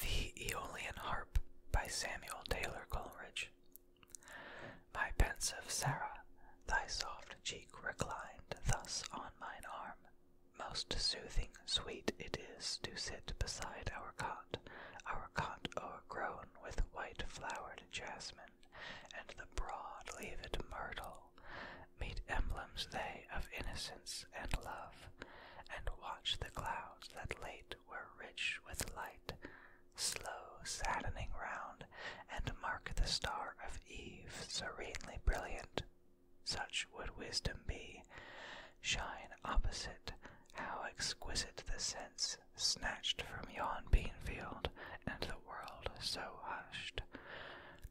The Aeolian Harp by Samuel Taylor Coleridge. My pensive Sarah, thy soft cheek reclined thus on mine arm. Most soothing, sweet it is to sit beside our cot, our cot o'ergrown with white flowered jasmine, and the broad leaved myrtle temple, emblems they of innocence and love, and watch the clouds that late were rich with light, slow saddening round, and mark the star of eve serenely brilliant. Such would wisdom be, shine opposite. How exquisite the sense, snatched from yon bean field, and the world so hushed.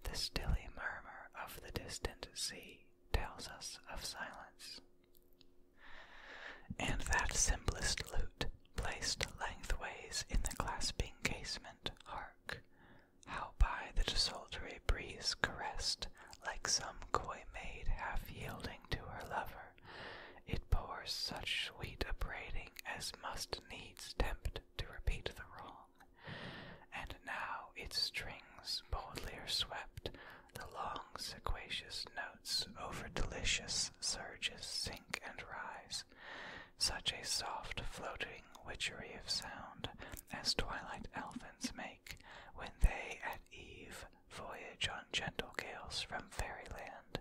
The stilly murmur of the distant sea tells us of silence. And that simplest lute, placed lengthways in the clasping casement, hark, how by the desultory breeze caressed, like some coy maid half yielding to her lover, it pours such sweet upbraiding as must needs tempt to repeat the wrong. And now its strings boldly are swept, the long sequacious notes over delicious surges sink and rise. Such a soft floating witchery of sound as twilight elfins make when they at eve voyage on gentle gales from fairyland,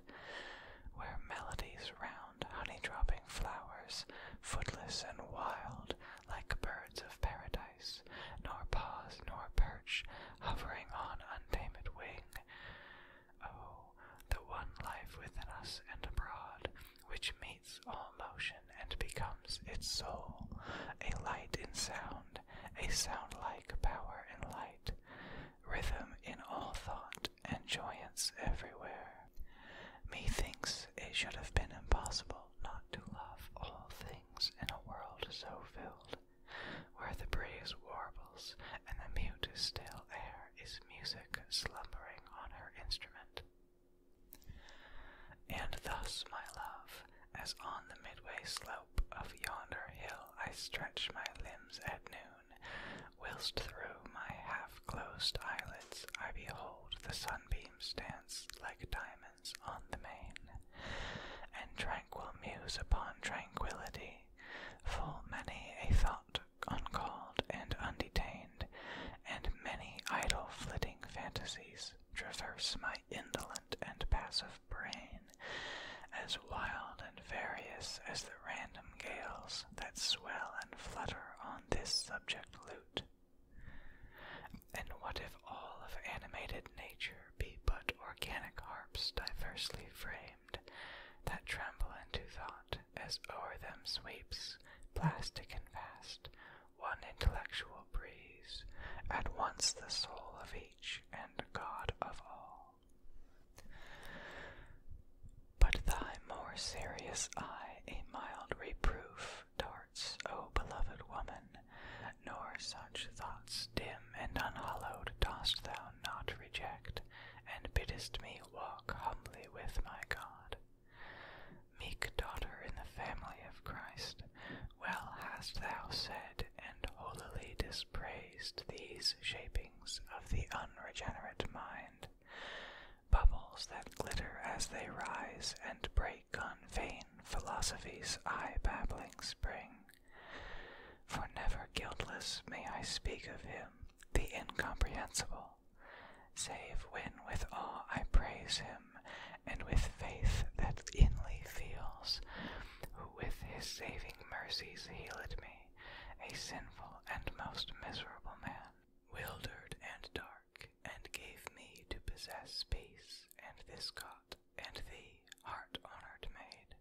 where melodies round honey-dropping flowers, footless and wild, like birds of paradise, nor pause nor perch, hovering on untamed wing. Oh, the one life within us and abroad, which meets all motion and becomes its soul, a light in sound, a sound-like power in light rhythm in all thought, and joyance everywhere. Methinks it should have been impossible not to love all things in a world so filled, where the breeze warbles and the mute still air is music slumbering on her instrument. And thus, my love, as on the midway slope of yonder hill I stretch my limbs at noon, whilst through my half closed eyelids I behold the sunbeams dance like diamonds on the main, and tranquil muse upon tranquillity, full many a thought uncalled and undetained, and many idle flitting fantasies traverse my indolent and passive brain, as wild and various as the random gales that swell and flutter on this subject lute. And what if all of animated nature be but organic harps diversely framed, that tremble into thought as o'er them sweeps, plastic and vast, one intellectual breeze, at once the soul of each and God of all. But thy more serious eye a mild reproof darts, O beloved woman, nor such thoughts dim and unhallowed dost thou not reject, and biddest me walk humbly with my God. Meek daughter in the family of Christ, well hast thou said and holily dispraised these shapings of the unregenerate mind, bubbles that glitter as they rise and break on vain philosophies' eye babbling spring. For never guiltless may I speak of him the incomprehensible, save when with awe I praise him, and with faith that inly feels, who with his saving mercies healed me, a sinful and most miserable man, wildered and dark, and gave me to possess peace, and this God and thee, heart honoured made.